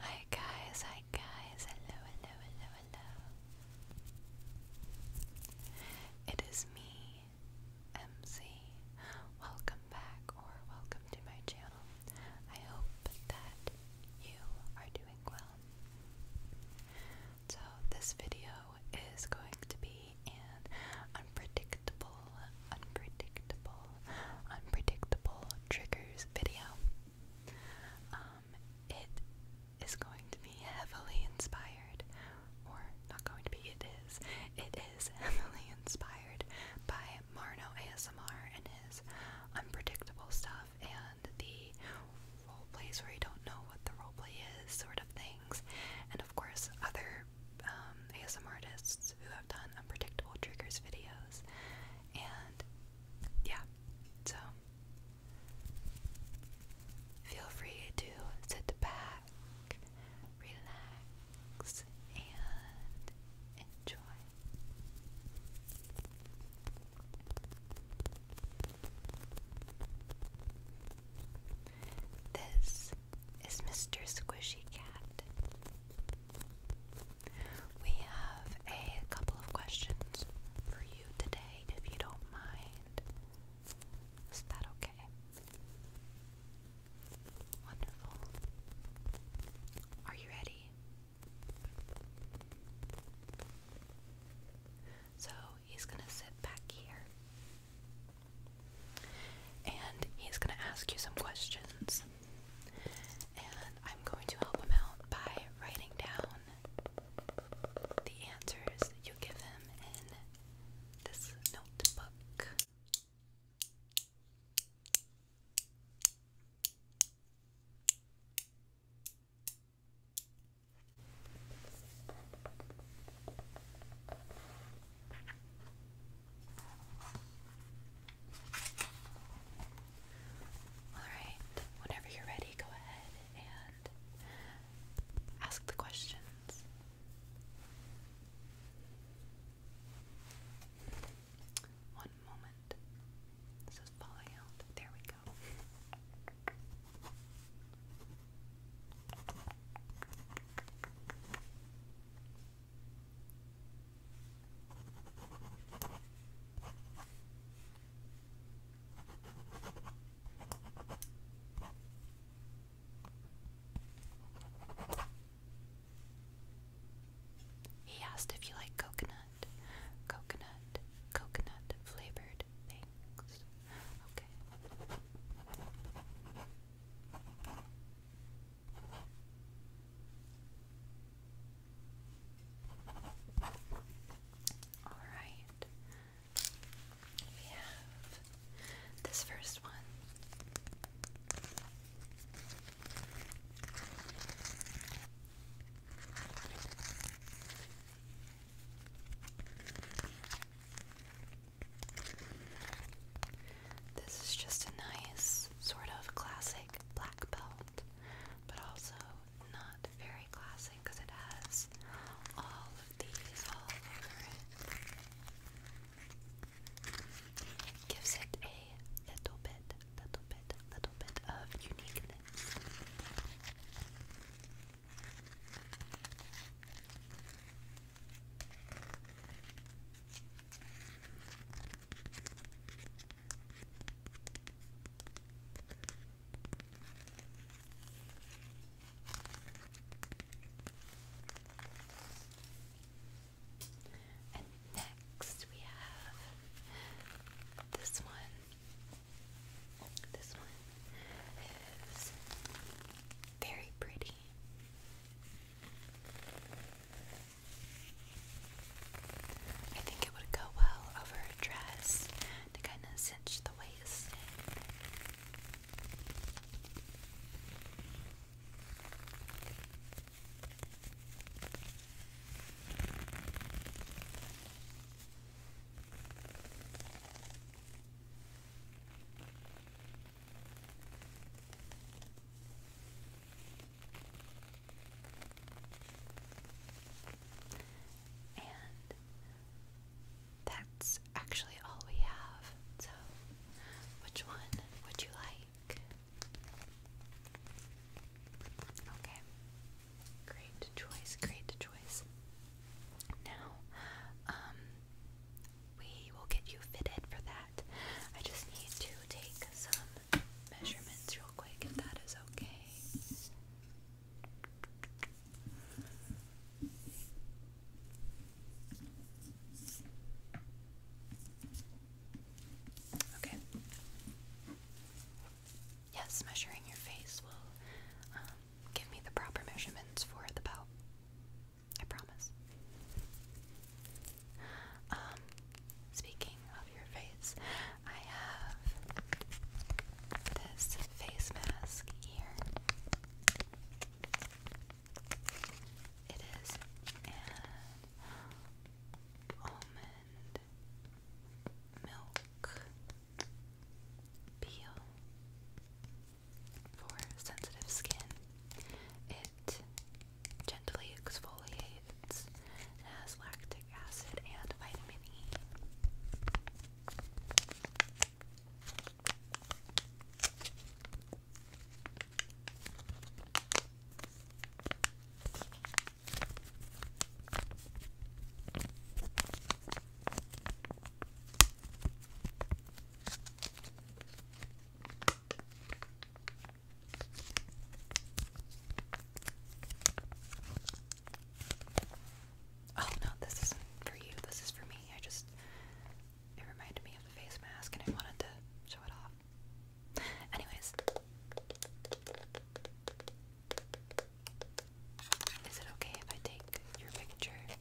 Hi guys, hi guys, hello, hello, hello, hello. It is me, MC. Welcome back or welcome to my channel. I hope that you are doing well. So, this video is going to be an unpredictable unpredictable, unpredictable triggers video. Um, it is going to be heavily inspired, or not going to be, it is, it is heavily inspired by Marno ASMR and his unpredictable stuff and the role plays where you don't know what the role play is sort of things, and of course other um, ASMR artists who have done unpredictable triggers videos, and yeah, so feel free to sit back, relax, and enjoy. This is Mr. Squishy Cat we have a couple of questions for you today, if you don't mind. Is that okay? Wonderful. Are you ready? So he's going to sit back here and he's going to ask you some questions. And I'm going to help him out by writing down the answers that you give him in this notebook. Alright, whenever you're ready, go ahead and ask the questions. One moment. This is falling out. There we go. He asked if you like coconut, coconut, coconut flavored things. Okay. All right. We have this first one. This is just a nice sort of classic black belt, but also not very classic because it has all of these all over it. Gives it a little bit, little bit, little bit of uniqueness. And next we have this one. This one is very pretty. I think it would go well over a dress to kind of cinch the waist and that's actually all we have. So, which one would you like? Okay. Great choice, great choice. Now, um, we will get you fitted for that. I just need to take some measurements real quick if that is okay. Okay. Yes, measuring your face will um, give me the proper measurements for the belt. I promise. Um, speaking of your face, I have this face mask here. It is an almond milk peel for sensitive skin. It gently exfoliates and has lactic acid and vitamin E. Oh no, this isn't for you. This is for me. I just it reminded me of the face mask and I wanted to show it off. Anyways. Is it okay if I take your picture?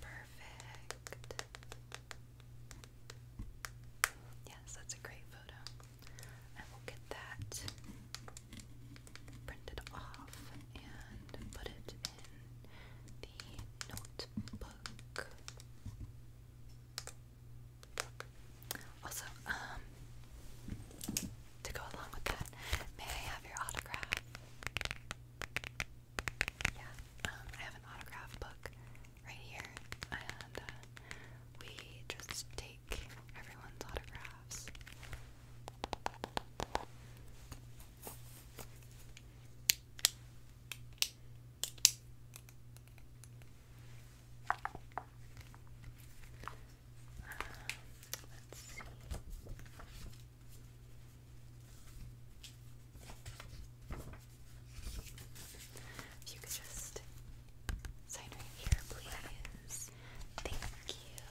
Perfect. Yes, that's a great photo. I will get that printed off and put it in the notebook. Also, um, to go along with that, may I have your autograph? Yeah, um, I have an autograph book right here, and uh, we just take everyone's autographs. If you could just sign right here, please. Thank you.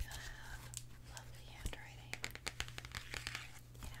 You have lovely handwriting. Yeah.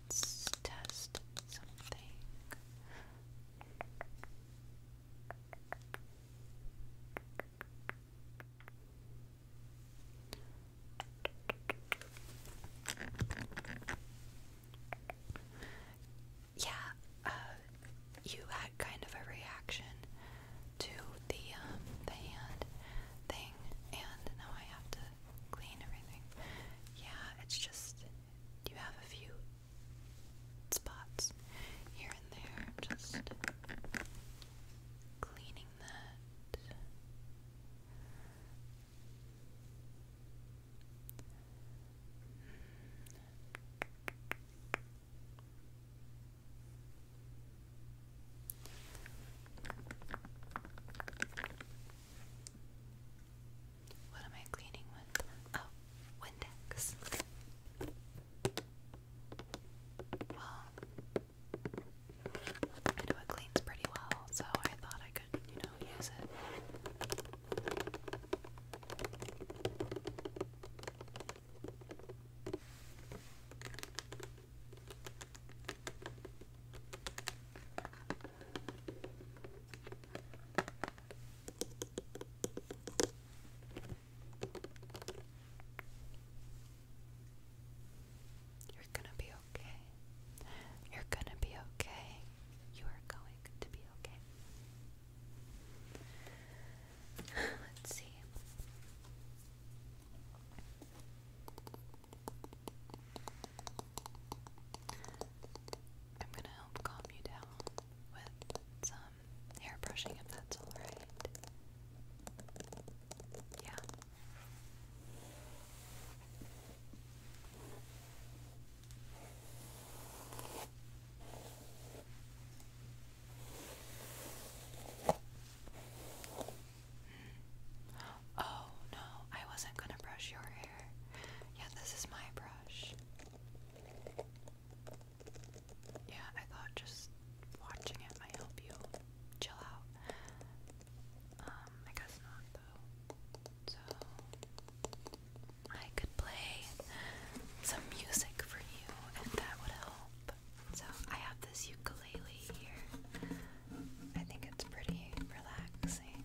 Let's test something. Yeah, uh, you had kind of a reaction to the um, the hand thing, and now I have to clean everything. Yeah, it's just you have a few spots here and there, just cleaning that. What am I cleaning with? Oh, Windex. Well, I cleans pretty well, so I thought I could, you know, use it. You're going to be okay. You're gonna be okay. You are going to be okay. Let's see. I'm gonna help calm you down with some hair if that's alright. Yeah. Oh, no, I wasn't going to brush your hair. Yeah, this is my brush. Yeah, I thought just watching it might help you chill out. Um, I guess not though. So I could play some music for you if that would help. So I have this ukulele here. I think it's pretty relaxing.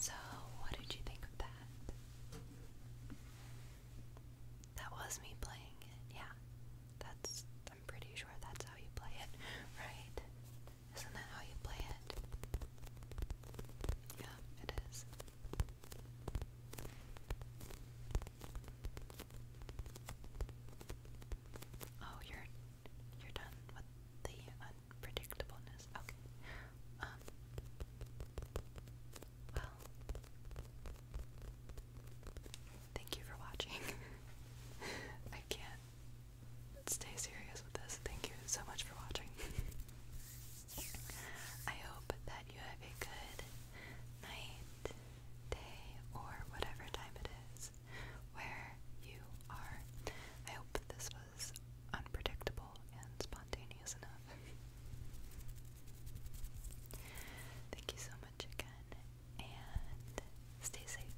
So, what did you think of that? That was me playing it, yeah. That's, I'm pretty sure that's how you play it, right? Isn't that how you play it? Yeah, it is. Oh, you're you're done with the unpredictableness. Okay. Um, well. Thank you for watching. I can't stay serious with this. Thank you so much for watching. I hope that you have a good night, day, or whatever time it is where you are. I hope this was unpredictable and spontaneous enough. Thank you so much again, and stay safe.